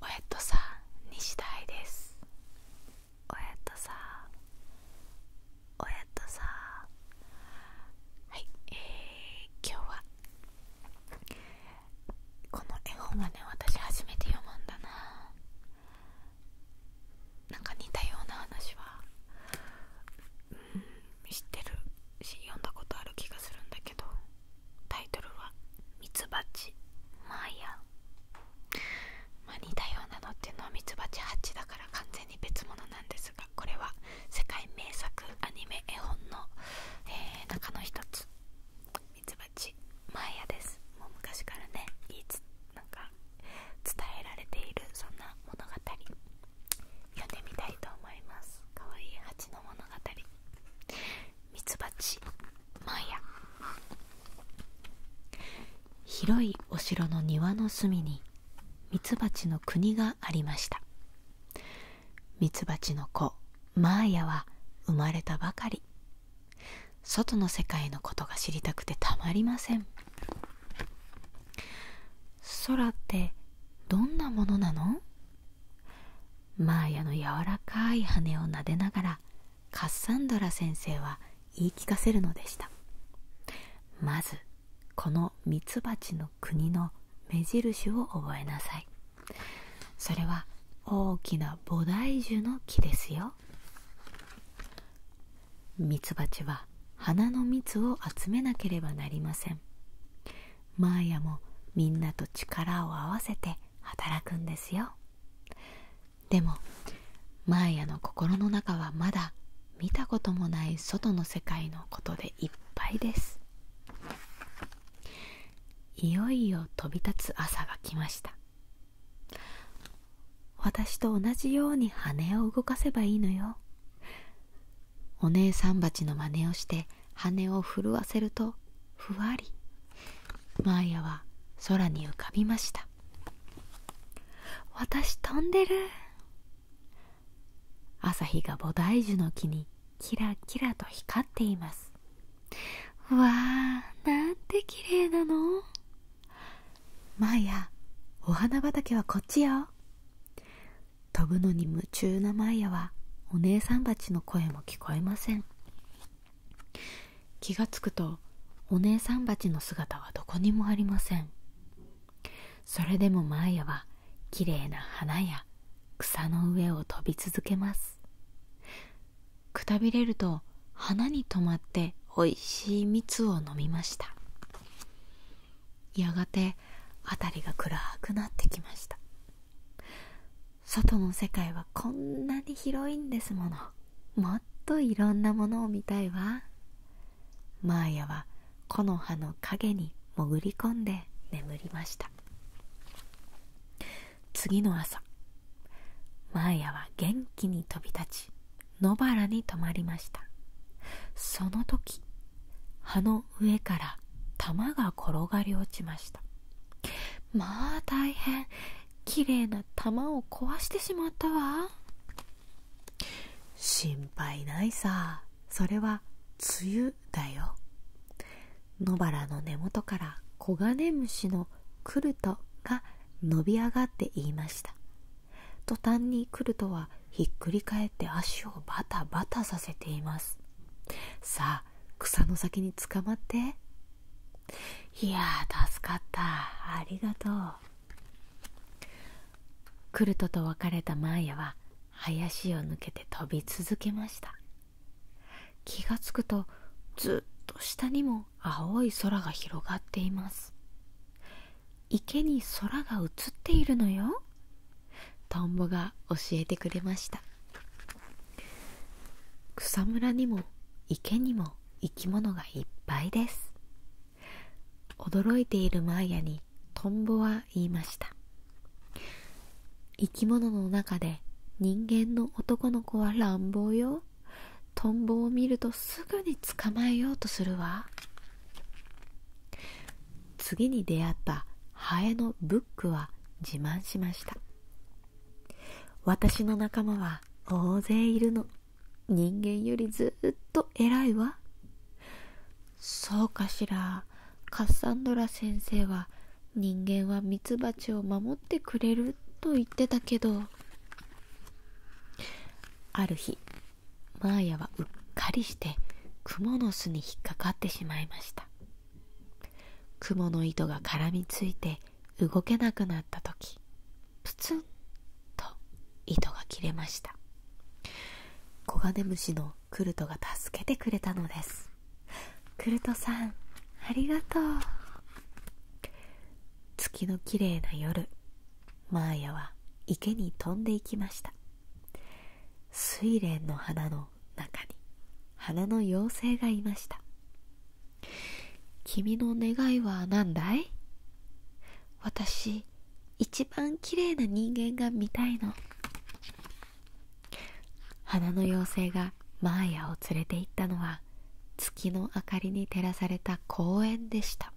親えとさ西大ですおえとさおえとさはいえー、今日はこの絵本はね私初めて読むんだななんか似たような話はうん知ってるし読んだことある気がするんだけどタイトルは「ミツバチマイヤ」まあ似たようなのっていうのはミツバチハチだから完全に別物なんですがこれは世界名作アニメ絵本の、え中の一つミツバチマイヤですもう昔からねいいつなんか伝えられているそんな物語読んでみたいと思いますかわいい蜂の物語ミツバチマーヤ広いお城の庭の隅にミツバチの国がありましたミツバチの子マーヤは生まれたばかり外の世界のことが知りたくてたまりません空ってどんなものなのマーヤの柔らかい羽を撫でながらカッサンドラ先生は言い聞かせるのでしたまずこのミツバチの国の目印を覚えなさいそれは大きな菩提樹の木ですよミツバチは花の蜜を集めなければなりませんマーヤもみんなと力を合わせて働くんですよでもマーヤの心の中はまだ見たこともない外の世界のことでいっぱいですいよいよ飛び立つ朝が来ました私と同じように羽を動かせばいいのよお姉さん蜂の真似をして羽を震わせるとふわりマーヤは空に浮かびました私飛んでる朝日が菩提樹の木にキラキラと光っていますわあなんて綺麗なのマーヤお花畑はこっちよ飛ぶのに夢中なマイヤはお姉さん蜂の声も聞こえません気が付くとお姉さん蜂の姿はどこにもありませんそれでもマイヤはきれいな花や草の上を飛び続けますくたびれると花に止まっておいしい蜜を飲みましたやがて辺りが暗くなってきました外の世界はこんなに広いんですものもっといろんなものを見たいわマーヤは木の葉の影に潜り込んで眠りました次の朝マーヤは元気に飛び立ち野原に泊まりましたその時の上から玉が転がり落ちましたまあ大変きれな玉を壊してしまったわ心配ないさそれは梅雨だよ野原の根元からコガネムシのクルトが伸び上がって言いました途端にクルトはひっくり返って足をバタバタさせていますさあ草の先につかまっていやー助かったありがとうクルトと別れたマーヤは林を抜けて飛び続けました気がつくとずっと下にも青い空が広がっています池に空が映っているのよトンボが教えてくれました草むらにも池にも生き物がいっぱいです驚いているマーヤにトンボは言いました生き物の中で人間の男の子は乱暴よトンボを見るとすぐに捕まえようとするわ次に出会ったハエのブックは自慢しました私の仲間は大勢いるの人間よりずっと偉いわそうかしらカッサンドラ先生は人間はミツバチを守ってくれると言ってたけどある日マーヤはうっかりしてクモの巣に引っかかってしまいましたクモの糸が絡みついて動けなくなった時プツンと糸が切れましたコガネムシのクルトが助けてくれたのですクルトさんありがとう月のきれいな夜マーヤは池に飛んでいきました睡蓮の花の中に花の妖精がいました君の願いは何だい私一番綺麗な人間が見たいの花の妖精がマーヤを連れて行ったのは月の明かりに照らされた公園でした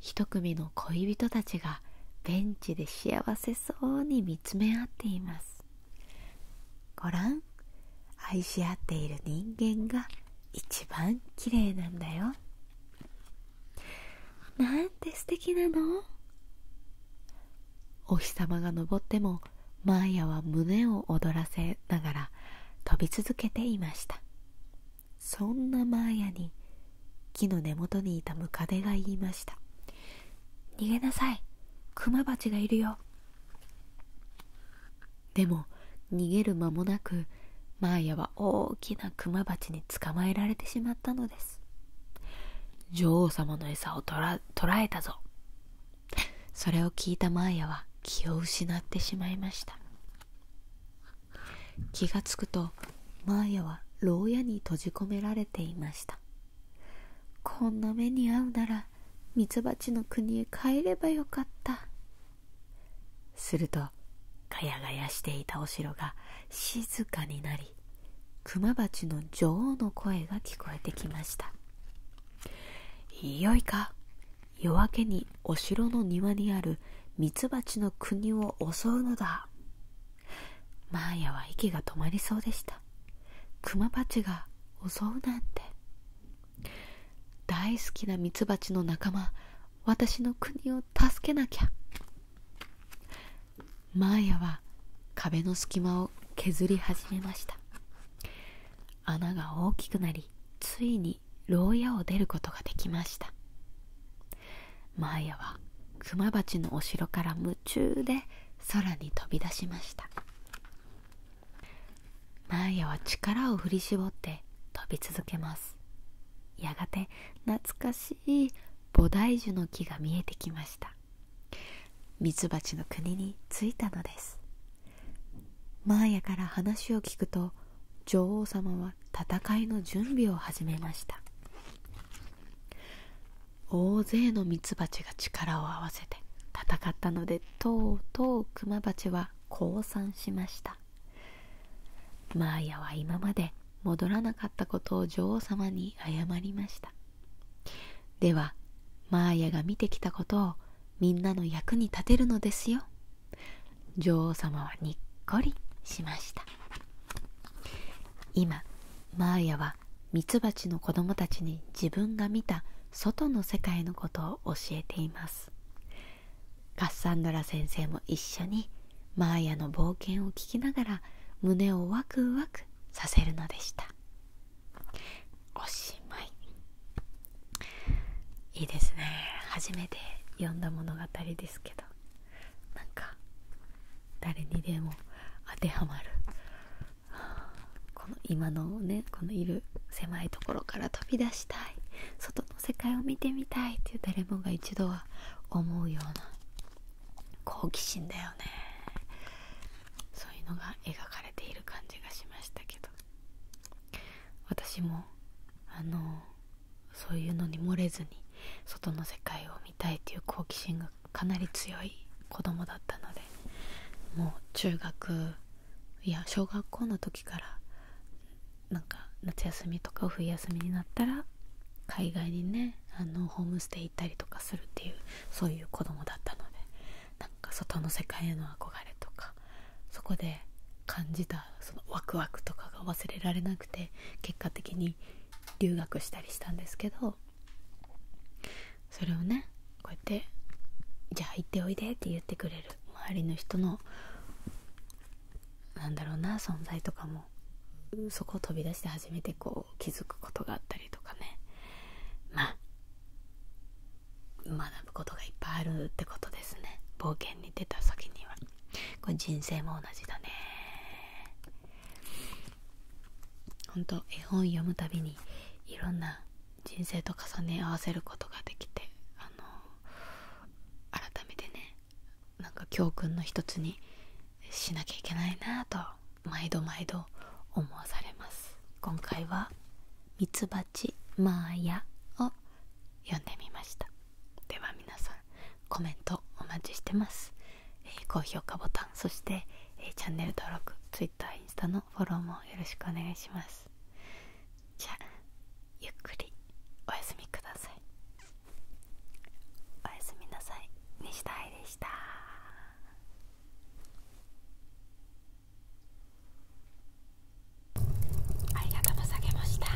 一組の恋人たちがベンチで幸せそうに見つめ合っていますごらん愛し合っている人間が一番綺麗なんだよなんて素敵なのお日様が昇ってもマーヤは胸を躍らせながら飛び続けていましたそんなマーヤに木の根元にいたムカデが言いました逃げなさいクマバチがいるよでも逃げる間もなくマーヤは大きなクマバチに捕まえられてしまったのです女王様の餌を捕ら捕えたぞそれを聞いたマーヤは気を失ってしまいました気がつくとマーヤは牢屋に閉じ込められていましたこんな目に遭うならミツバチの国へ帰ればよかったするとガヤガヤしていたお城が静かになりクマバチの女王の声が聞こえてきましたよいか夜明けにお城の庭にあるミツバチの国を襲うのだマーヤは息が止まりそうでしたクマバチが襲うなんて大好きなミツバチの仲間私の国を助けなきゃマーヤは壁の隙間を削り始めました穴が大きくなりついに牢屋を出ることができましたマーヤはクマバチのお城から夢中で空に飛び出しましたマーヤは力を振り絞って飛び続けますやがて懐かしい菩提樹の木が見えてきましたミツバチの国に着いたのですマーヤから話を聞くと女王様は戦いの準備を始めました大勢のミツバチが力を合わせて戦ったのでとうとうクマバチは降参しましたマーヤは今まで戻らなかったことを女王様に謝りましたではマーヤが見てきたことをみんなの役に立てるのですよ女王様はにっこりしました今マーヤはミツバチの子供たちに自分が見た外の世界のことを教えていますカッサンドラ先生も一緒にマーヤの冒険を聞きながら胸をワクワクさせるのでしたおしまいいいですね初めて読んだ物語ですけどなんか誰にでも当てはまるこの今のねこのいる狭いところから飛び出したい外の世界を見てみたいっていう誰もが一度は思うような好奇心だよねそういうのが描かれている感じがしましたけど私もあのそういうのに漏れずに外の世界を見みいっていう好奇心がかなり強い子供だったのでもう中学いや小学校の時からなんか夏休みとか冬休みになったら海外にねあのホームステイ行ったりとかするっていうそういう子供だったのでなんか外の世界への憧れとかそこで感じたそのワクワクとかが忘れられなくて結果的に留学したりしたんですけどそれをねこうやって「じゃあ行っておいで」って言ってくれる周りの人のなんだろうな存在とかもそこを飛び出して初めてこう気づくことがあったりとかねまあ学ぶことがいっぱいあるってことですね冒険に出た先にはこれ人生も同じだねほんと絵本読むたびにいろんな人生と重ね合わせることができてあの改めてねなんか教訓の一つにしなきゃいけないなと毎度毎度思わされます今回は「ミツバチマーヤ」を読んでみましたでは皆さんコメントお待ちしてますえー、高評価ボタンそして、えー、チャンネル登録 Twitter インスタのフォローもよろしくお願いしますじゃあゆっくりおやすみくださいおやすみなさい西田愛でしたありがとうございました